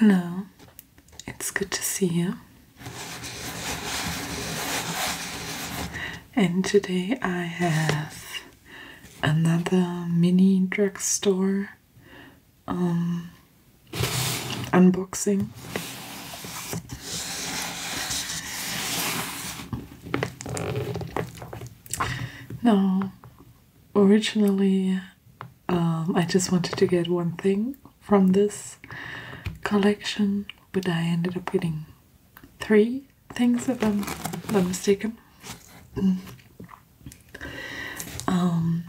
Hello, it's good to see you. And today I have another mini drugstore um, unboxing. Now, originally, um, I just wanted to get one thing from this collection, but I ended up getting three things, if I'm not mistaken. Mm. um,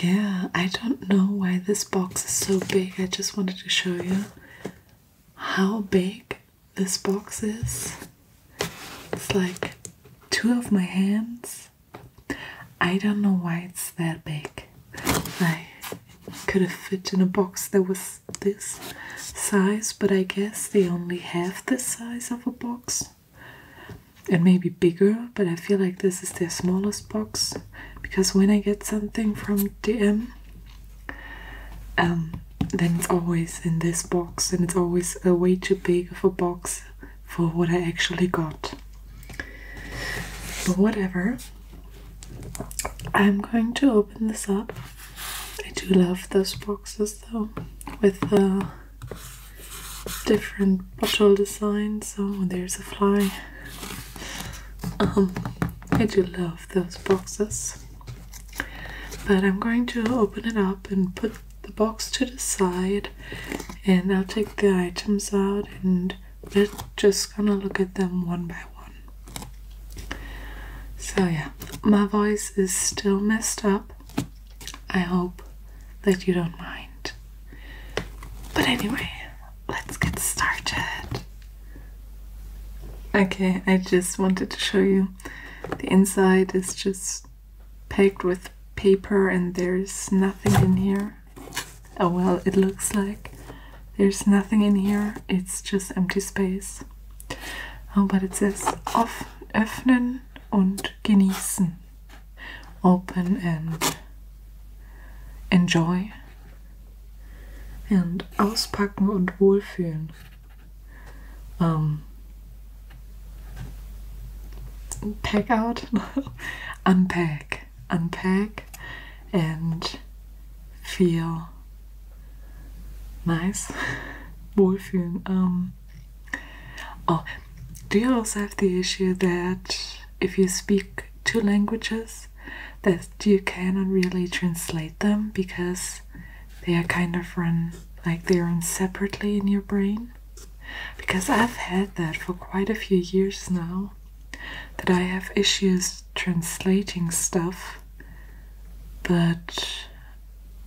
yeah, I don't know why this box is so big. I just wanted to show you how big this box is. It's like two of my hands. I don't know why it's that big. I could have fit in a box that was this size, but I guess they only have this size of a box. It may be bigger, but I feel like this is their smallest box because when I get something from DM, um, then it's always in this box, and it's always a way too big of a box for what I actually got. But whatever, I'm going to open this up. I do love those boxes though, with the different bottle designs. Oh, there's a fly. Um, I do love those boxes. But I'm going to open it up and put the box to the side and I'll take the items out and we're just gonna look at them one by one. So yeah, my voice is still messed up. I hope that you don't mind. But anyway, let's get started. Okay, I just wanted to show you the inside is just packed with paper and there's nothing in here. Oh well, it looks like there's nothing in here. It's just empty space. Oh, but it says öffnen und genießen open and enjoy and auspacken und wohlfühlen. Um, pack out, unpack, unpack, and feel nice, wohlfühlen. Um, Oh, do you also have the issue that if you speak two languages, that you cannot really translate them because they are kind of run like they run separately in your brain? Because I've had that for quite a few years now, that I have issues translating stuff, but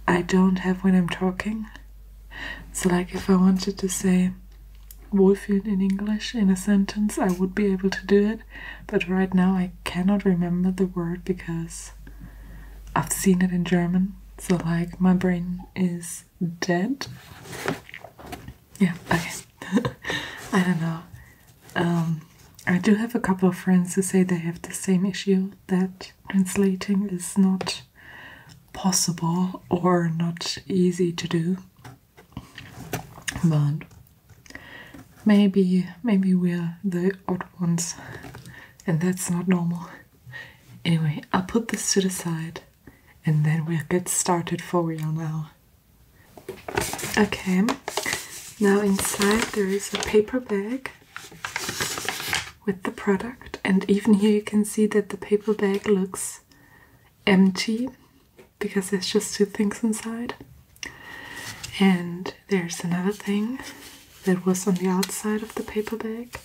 I don't have when I'm talking so like if I wanted to say Wohlfühlen in English in a sentence, I would be able to do it, but right now I cannot remember the word because I've seen it in German, so like my brain is dead. Yeah, okay. I don't know. Um, I do have a couple of friends who say they have the same issue that translating is not possible or not easy to do but maybe maybe we're the odd ones and that's not normal anyway i'll put this to the side and then we'll get started for real now okay now inside there is a paper bag with the product and even here you can see that the paper bag looks empty because there's just two things inside and there's another thing that was on the outside of the paper bag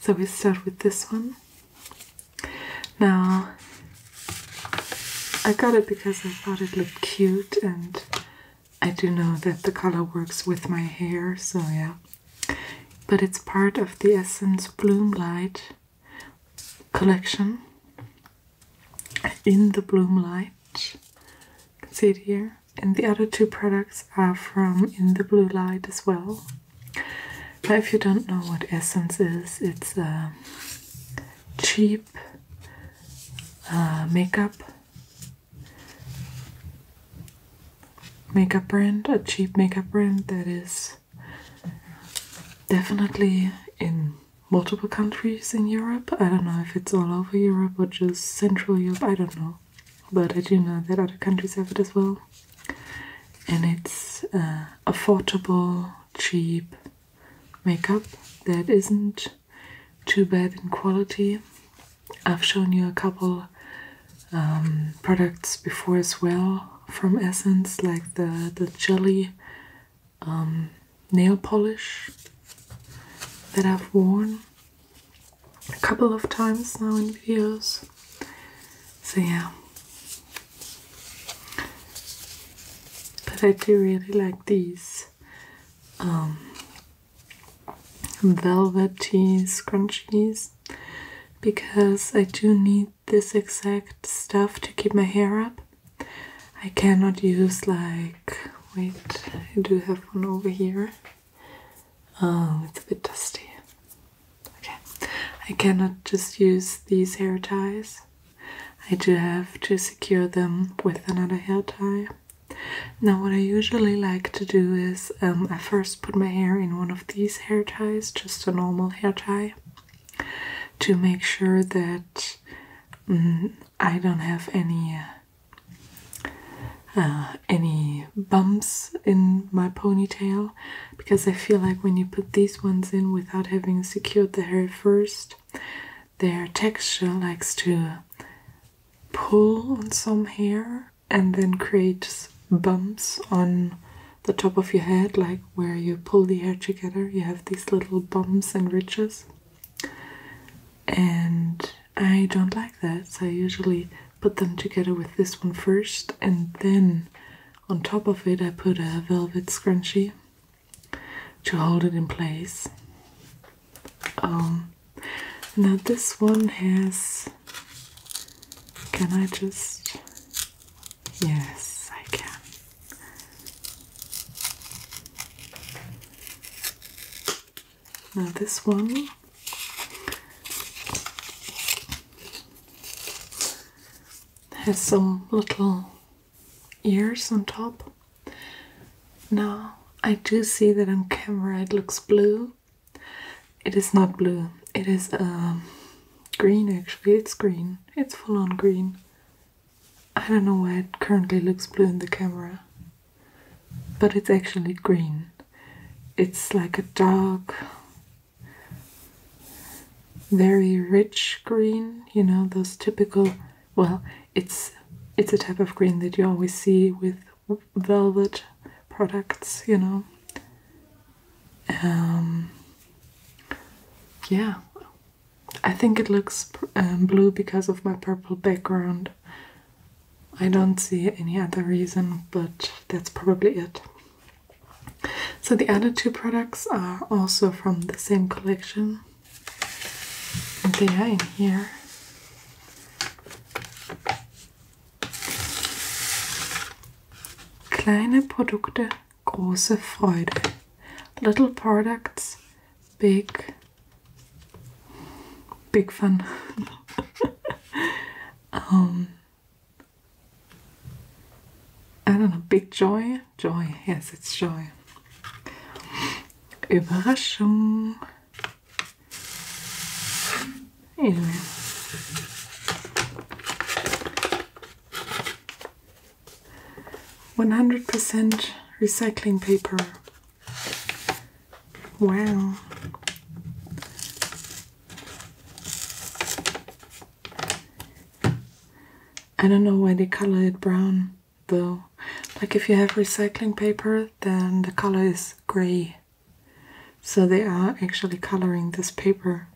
so we start with this one now I got it because I thought it looked cute and I do know that the color works with my hair so yeah but it's part of the Essence Bloom Light collection. In the Bloom Light, you can see it here, and the other two products are from In the Bloom Light as well. Now, if you don't know what Essence is, it's a cheap uh, makeup makeup brand, a cheap makeup brand that is definitely in multiple countries in Europe. I don't know if it's all over Europe or just Central Europe, I don't know. But I do know that other countries have it as well. And it's uh, affordable, cheap makeup that isn't too bad in quality I've shown you a couple um, products before as well from Essence, like the, the jelly um, nail polish that I've worn a couple of times now in videos. So yeah. But I do really like these um, velvety scrunchies because I do need this exact stuff to keep my hair up. I cannot use like wait, I do have one over here. Oh, it's a bit dusty. Okay. I cannot just use these hair ties. I do have to secure them with another hair tie. Now, what I usually like to do is um, I first put my hair in one of these hair ties, just a normal hair tie, to make sure that mm, I don't have any. Uh, any bumps in my ponytail because I feel like when you put these ones in without having secured the hair first, their texture likes to pull on some hair and then creates bumps on the top of your head, like where you pull the hair together, you have these little bumps and ridges. And I don't like that, so I usually put them together with this one first, and then on top of it, I put a velvet scrunchie to hold it in place. Um, now this one has. Can I just. Yes, I can. Now this one has some little ears on top. Now I do see that on camera it looks blue, it is not blue. It is um, green actually. It's green. It's full on green. I don't know why it currently looks blue in the camera. But it's actually green. It's like a dark, very rich green. You know, those typical... Well, it's it's a type of green that you always see with velvet products, you know. Um, yeah, I think it looks um, blue because of my purple background. I don't see any other reason, but that's probably it. So the other two products are also from the same collection. And they are in here. Kleine Produkte, große Freude. Little products, big, big fun. um, I don't know, big joy, joy, yes, it's joy. Überraschung. Wait a One hundred percent recycling paper. Wow. I don't know why they color it brown though. Like if you have recycling paper, then the color is gray. So they are actually coloring this paper.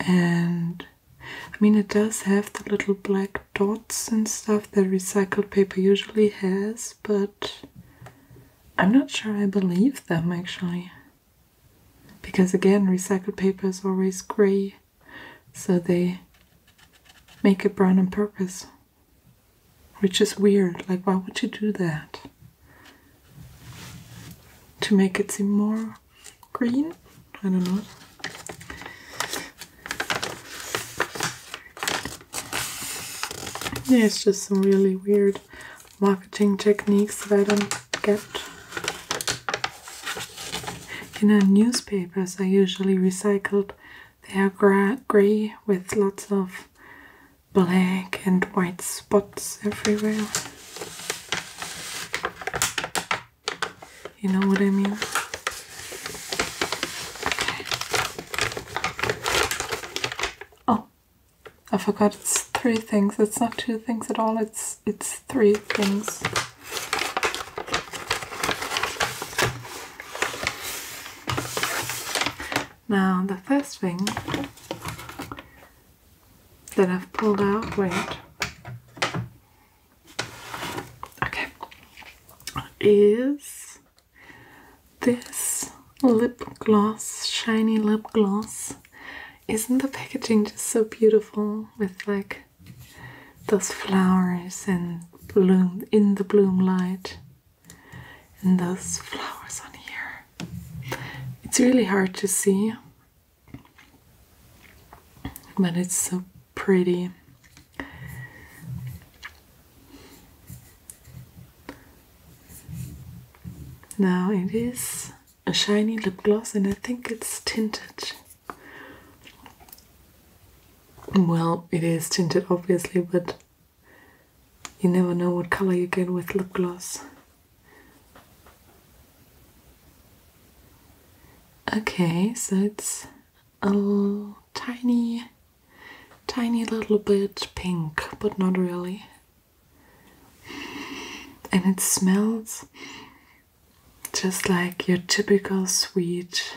And I mean, it does have the little black dots and stuff that recycled paper usually has, but I'm not sure I believe them actually. Because again, recycled paper is always gray, so they make it brown on purpose. Which is weird. Like, why would you do that? To make it seem more green? I don't know. Yeah, it's just some really weird marketing techniques that I don't get. You know, newspapers are usually recycled they are gra grey with lots of black and white spots everywhere. You know what I mean? Oh, I forgot it's three things. It's not two things at all. It's it's three things. Now the first thing that I've pulled out, wait, okay, is this lip gloss, shiny lip gloss. Isn't the packaging just so beautiful with like those flowers and bloom in the bloom light? and those flowers on here. It's really hard to see, but it's so pretty. Now it is a shiny lip gloss and I think it's tinted. Well, it is tinted obviously, but you never know what color you get with lip gloss. Okay, so it's a tiny, tiny little bit pink, but not really. And it smells just like your typical sweet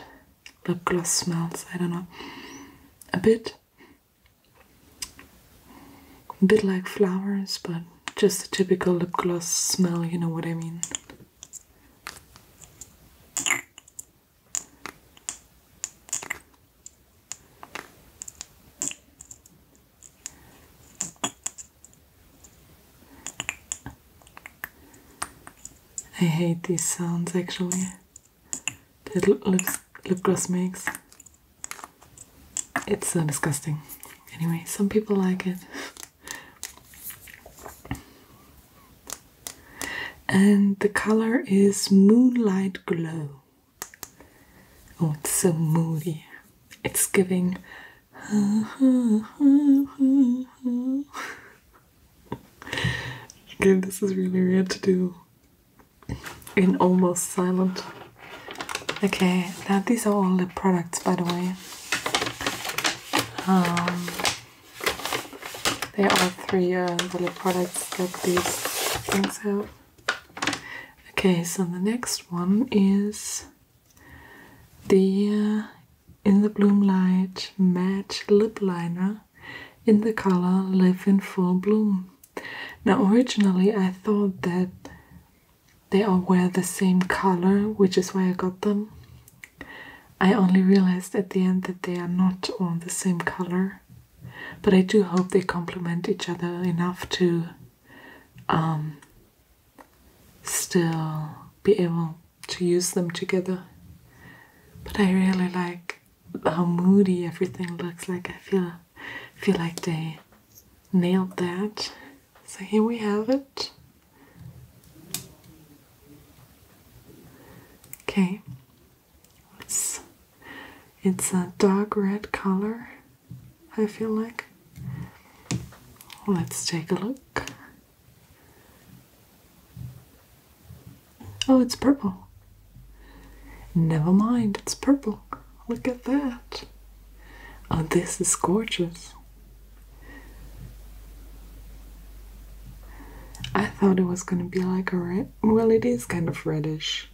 lip gloss smells. I don't know. A bit, a bit like flowers, but just a typical lip gloss smell. You know what I mean. I hate these sounds actually that lip gloss makes. It's so disgusting. Anyway, some people like it. And the color is Moonlight Glow. Oh, it's so moody. It's giving. okay, this is really weird to do in almost silent. Okay, now these are all the products, by the way. Um, there are three uh, little products that these things have. Okay, so the next one is the uh, In the Bloom Light Matte Lip Liner in the color live in full bloom. Now, originally, I thought that they all wear the same color, which is why I got them. I only realized at the end that they are not all the same color, but I do hope they complement each other enough to um, still be able to use them together. But I really like how moody everything looks like. I feel feel like they nailed that. So here we have it. Okay. It's it's a dark red color, I feel like. Let's take a look. Oh, it's purple. Never mind, it's purple. Look at that. Oh, this is gorgeous. I thought it was going to be like a red. Well, it is kind of reddish.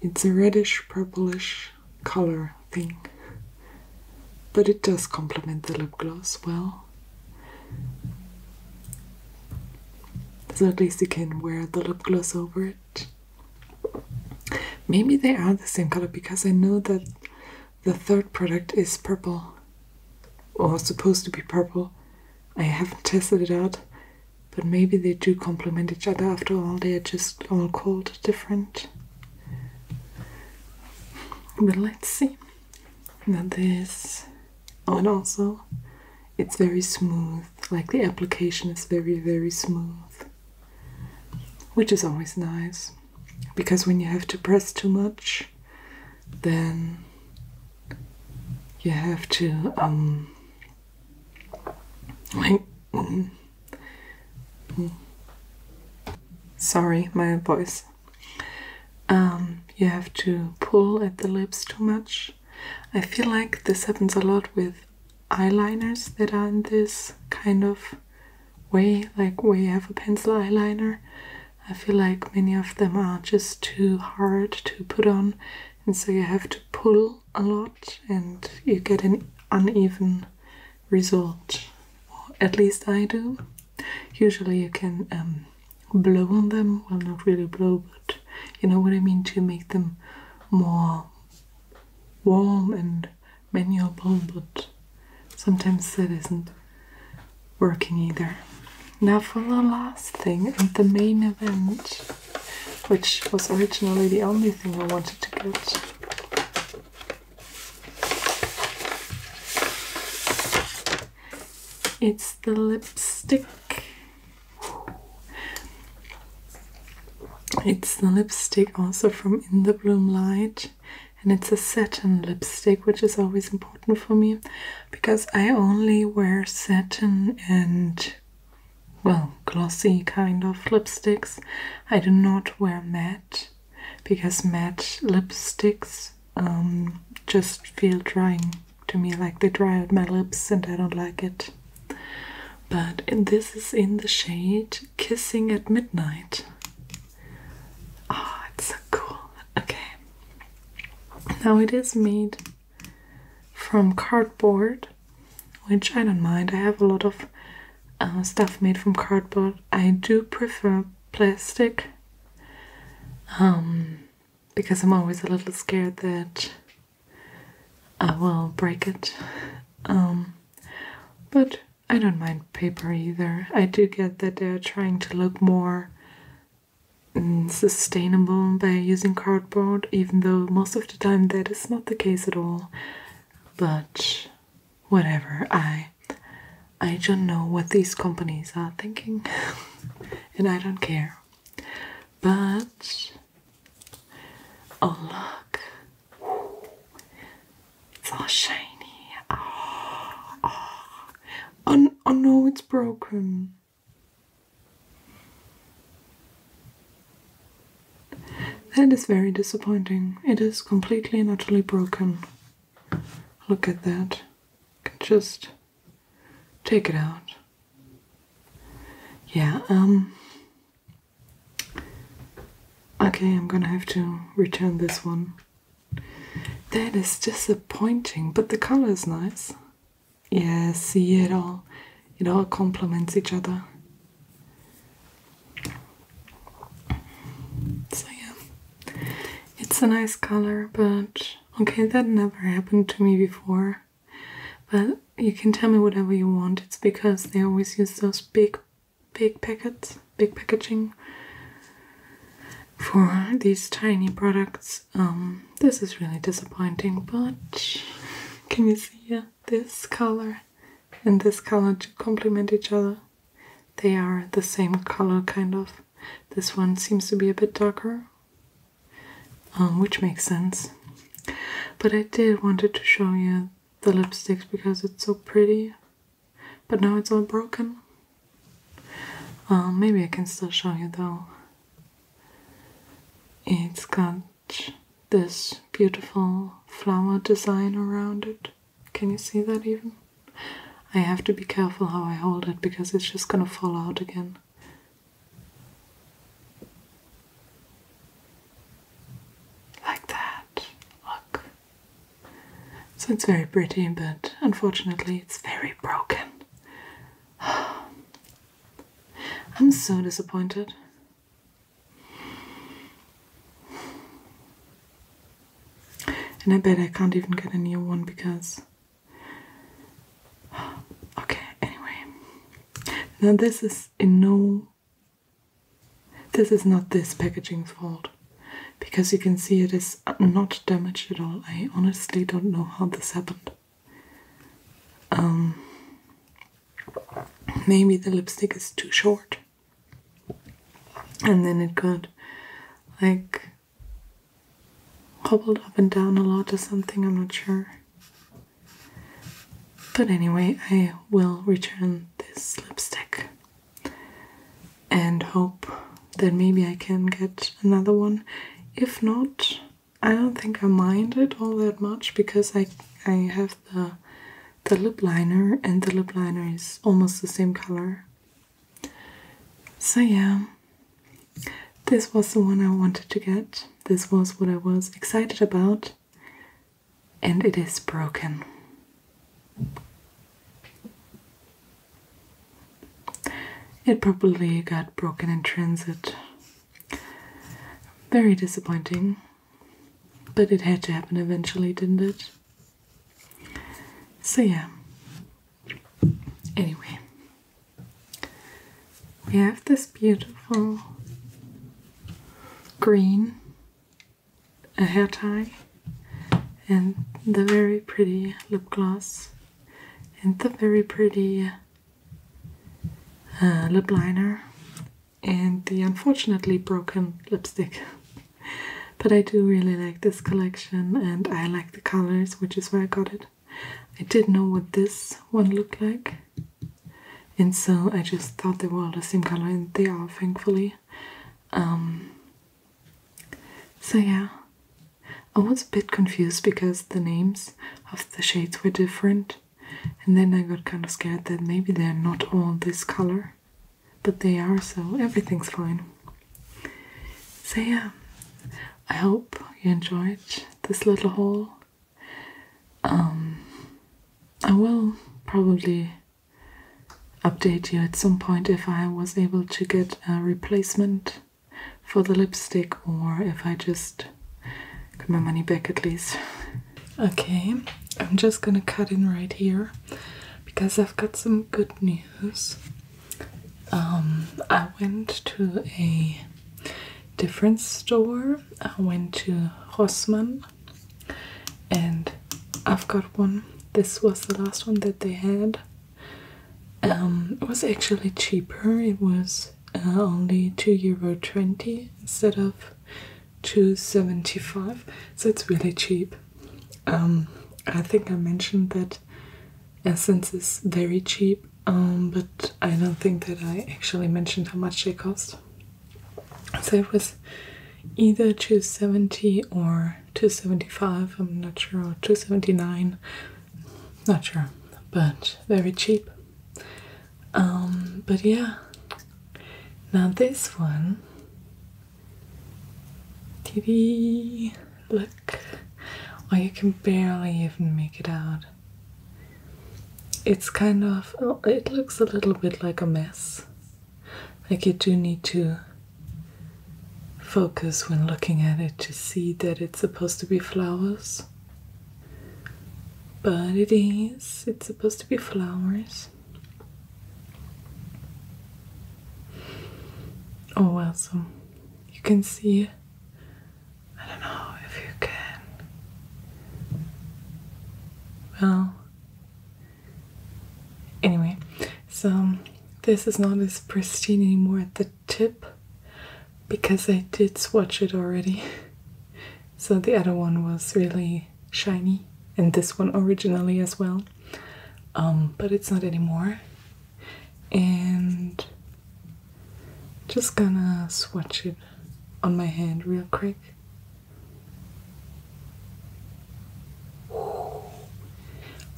It's a reddish purplish color thing. But it does complement the lip gloss well. So at least you can wear the lip gloss over it. Maybe they are the same color because I know that the third product is purple or supposed to be purple. I haven't tested it out, but maybe they do complement each other after all. They are just all called different. But let's see. Now, this and also it's very smooth like the application is very very smooth which is always nice because when you have to press too much then you have to um wait, mm, mm. sorry my voice um, you have to pull at the lips too much. I feel like this happens a lot with eyeliners that are in this kind of way, like where you have a pencil eyeliner. I feel like many of them are just too hard to put on, and so you have to pull a lot, and you get an uneven result. Or at least I do. Usually you can um, blow on them, well, not really blow, but you know what I mean, to make them more warm and manuable, but sometimes that isn't working either. Now for the last thing and the main event, which was originally the only thing I wanted to get. It's the lipstick. It's the lipstick also from In the Bloom Light, and it's a satin lipstick, which is always important for me because I only wear satin and well, glossy kind of lipsticks. I do not wear matte because matte lipsticks um, just feel drying to me, like they dry out my lips, and I don't like it. But this is in the shade Kissing at Midnight. Oh, it's so cool. Okay. Now it is made from cardboard, which I don't mind. I have a lot of uh, stuff made from cardboard. I do prefer plastic. Um, because I'm always a little scared that I will break it. Um, but I don't mind paper either. I do get that they're trying to look more mm, sustainable by using cardboard, even though most of the time that is not the case at all. But whatever, I I don't know what these companies are thinking, and I don't care. But oh look, it's all shiny. Ah, ah. Oh, oh. oh no, it's broken. That is very disappointing. It is completely and utterly broken. Look at that. Just Take it out. Yeah, um. Okay, I'm gonna have to return this one. That is disappointing, but the color is nice. Yeah, see it all. It all complements each other. So yeah, it's a nice color, but Okay, that never happened to me before. But you can tell me whatever you want. It's because they always use those big, big packets, big packaging for these tiny products. Um, this is really disappointing, but can you see this color and this color to complement each other? They are the same color, kind of. This one seems to be a bit darker, um, which makes sense. But I did wanted to show you the lipsticks because it's so pretty. But now it's all broken. Um, maybe I can still show you though. It's got this beautiful flower design around it. Can you see that even? I have to be careful how I hold it because it's just gonna fall out again. Like that. Look. So it's very pretty, but unfortunately, it's very broken. I'm so disappointed. And I bet I can't even get a new one because. Okay, anyway. Now, this is in no. This is not this packaging's fault because you can see it is not damaged at all. I honestly don't know how this happened. Um, maybe the lipstick is too short and then it got like hobbled up and down a lot or something, I'm not sure. But anyway, I will return this lipstick and hope that maybe I can get another one. If not, I don't think I mind it all that much because I I have the the lip liner and the lip liner is almost the same color so, yeah, this was the one I wanted to get. This was what I was excited about, and it is broken. It probably got broken in transit. Very disappointing. But it had to happen eventually, didn't it? So, yeah, anyway, we have this beautiful green hair tie and the very pretty lip gloss and the very pretty uh, lip liner and the unfortunately broken lipstick but I do really like this collection and I like the colors, which is where I got it. I didn't know what this one looked like, and so I just thought they were all the same color, and they are, thankfully. Um, so, yeah, I was a bit confused because the names of the shades were different, and then I got kind of scared that maybe they're not all this color but they are, so everything's fine. So, yeah, I hope you enjoyed this little haul. Um, I will probably update you at some point if I was able to get a replacement for the lipstick or if I just get my money back at least. Okay, I'm just gonna cut in right here because I've got some good news. Um, I went to a different store. I went to Rossmann and I've got one. This was the last one that they had. Um, it was actually cheaper. It was uh, only two euro twenty instead of two seventy five. So it's really cheap. Um, I think I mentioned that Essence is very cheap, um, but I don't think that I actually mentioned how much they cost. So it was either 270 or 275, I'm not sure, or 279, not sure, but very cheap. Um, but yeah, now this one TV. Look. Oh, you can barely even make it out. It's kind of, oh, it looks a little bit like a mess. Like you do need to focus when looking at it to see that it's supposed to be flowers. But it is, it's supposed to be flowers. Oh well, so you can see. I don't know if you can. Well, anyway, so this is not as pristine anymore at the tip because I did swatch it already. So the other one was really shiny, and this one originally as well. Um, but it's not anymore. And just gonna swatch it on my hand real quick.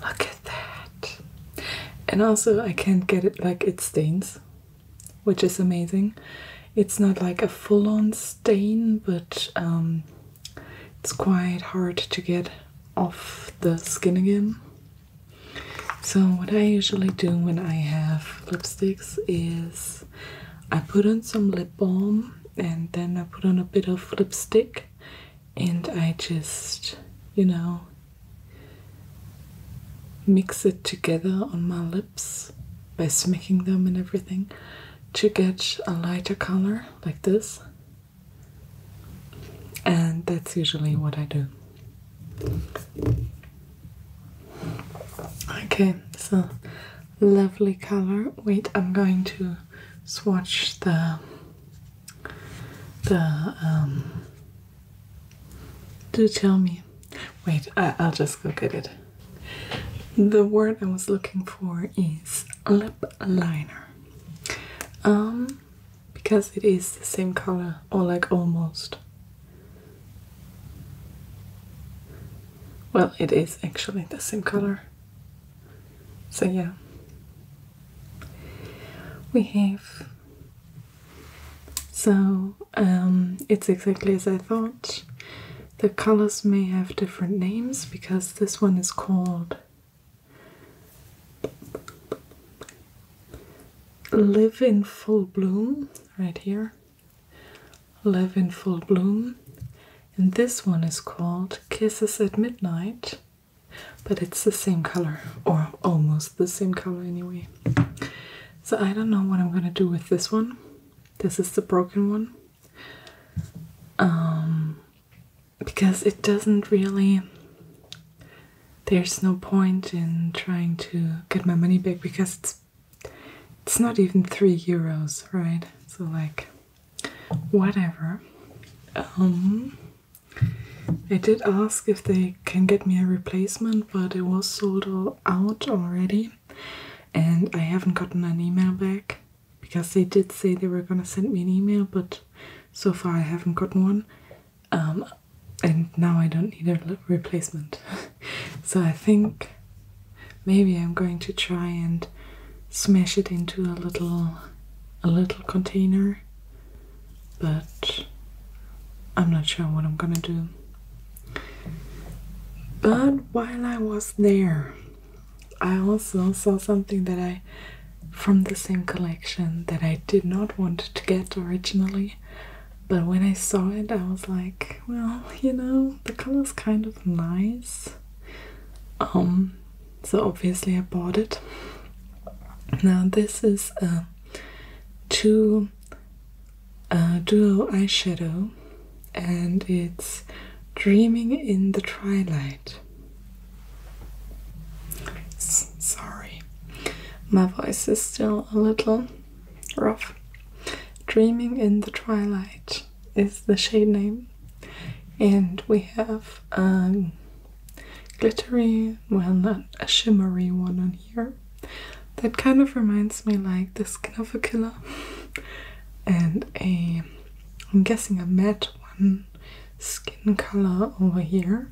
look at that. And also, I can't get it like it stains, which is amazing. It's not like a full on stain, but um, it's quite hard to get off the skin again. So, what I usually do when I have lipsticks is I put on some lip balm and then I put on a bit of lipstick and I just, you know, mix it together on my lips by smacking them and everything to get a lighter color like this. And that's usually what I do. Okay, so lovely color. Wait, I'm going to swatch the the um, do tell me. Wait, I, I'll just go get it. The word I was looking for is lip liner. Um, because it is the same color, or like almost. Well, it is actually the same color. So, yeah. We have. So, um, it's exactly as I thought. The colors may have different names because this one is called Live in Full Bloom, right here. Live in Full Bloom. And this one is called Kisses at Midnight, but it's the same color, or almost the same color anyway. So I don't know what I'm gonna do with this one. This is the broken one. Um, because it doesn't really. There's no point in trying to get my money back because it's it's not even three euros, right? So like, whatever. Um, I did ask if they can get me a replacement, but it was sold out already, and I haven't gotten an email back because they did say they were gonna send me an email, but so far I haven't gotten one. Um, and now I don't need a replacement. so I think maybe I'm going to try and smash it into a little a little container but I'm not sure what I'm gonna do. But while I was there I also saw something that I from the same collection that I did not want to get originally, but when I saw it, I was like, well, you know, the color is kind of nice. Um, so obviously, I bought it. Now, this is a two a duo eyeshadow, and it's Dreaming in the Twilight sorry, my voice is still a little rough. Dreaming in the Twilight is the shade name, and we have a um, glittery, well, not a shimmery one on here. That kind of reminds me like the skin of a killer and a I'm guessing a matte one skin color over here.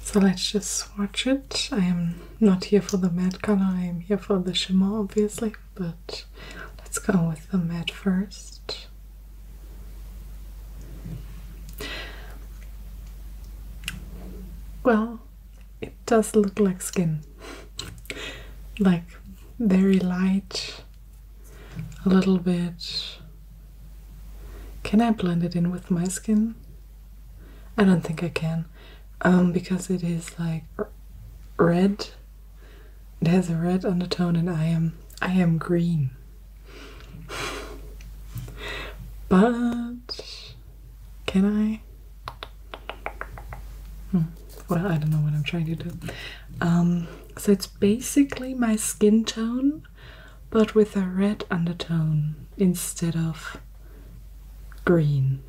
So let's just swatch it. I am not here for the matte color, I am here for the shimmer obviously, but let's go with the matte first. Well, it does look like skin. like very light a little bit. Can I blend it in with my skin? I don't think I can um, because it is like red. It has a red undertone, and I am I am green. but can I? Hmm. Well, I don't know what I'm trying to do. Um, so it's basically my skin tone, but with a red undertone instead of green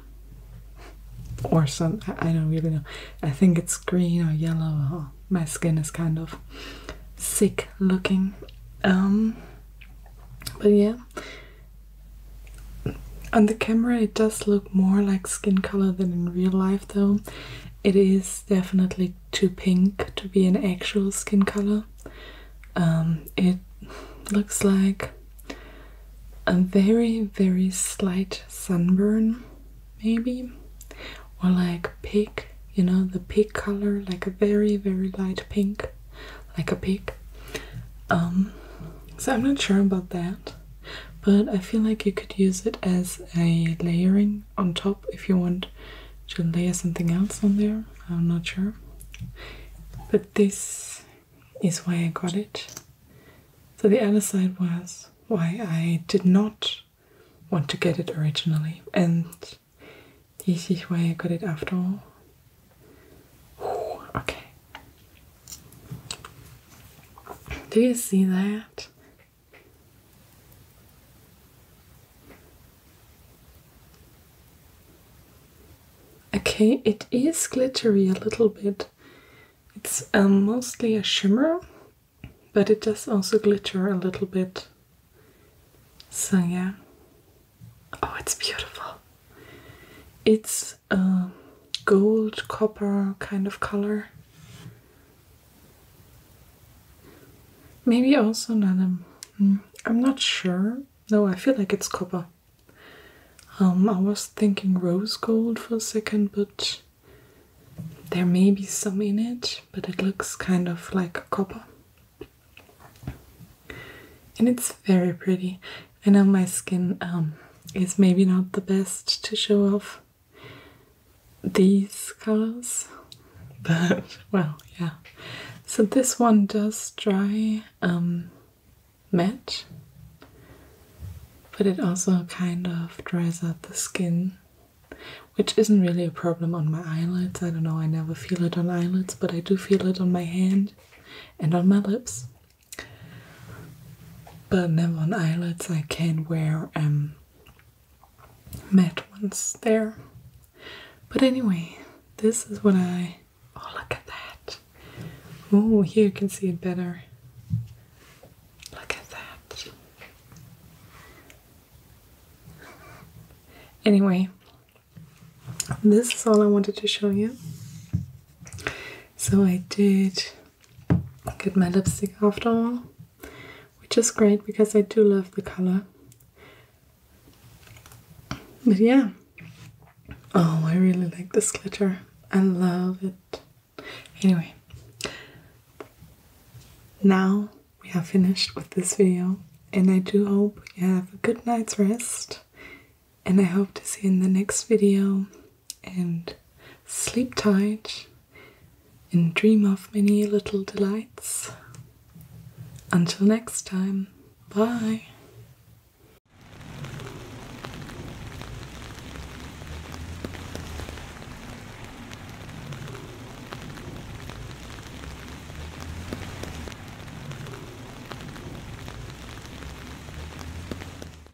or some. I don't really know. I think it's green or yellow. my skin is kind of sick looking. Um, but yeah. On the camera, it does look more like skin color than in real life though, it is definitely too pink to be an actual skin color. Um, it looks like a very, very slight sunburn, maybe, or like pig, you know, the pig color, like a very, very light pink, like a pig. Um, so I'm not sure about that but I feel like you could use it as a layering on top if you want to layer something else on there. I'm not sure, but this is why I got it. So the other side was why I did not want to get it originally, and this is why I got it after all. okay, do you see that? Okay, it is glittery a little bit. It's um, mostly a shimmer, but it does also glitter a little bit. So yeah. Oh, it's beautiful. It's uh, gold copper kind of color. Maybe also not. Hmm, I'm not sure. No, I feel like it's copper. Um, I was thinking rose gold for a second, but there may be some in it, but it looks kind of like copper. And it's very pretty. I know my skin um, is maybe not the best to show off these colors, but well, yeah. So this one does dry um, matte, but it also kind of dries out the skin, which isn't really a problem on my eyelids. I don't know, I never feel it on eyelids, but I do feel it on my hand and on my lips. But never on eyelids, I can wear um, matte ones there. But anyway, this is what I. Oh, look at that! Oh, here you can see it better. Look at that. Anyway, this is all I wanted to show you. So I did get my lipstick after all, which is great because I do love the color. But yeah, oh, I really like this glitter. I love it. Anyway, now we are finished with this video, and I do hope you have a good night's rest. And I hope to see you in the next video and sleep tight and dream of many little delights. Until next time, bye!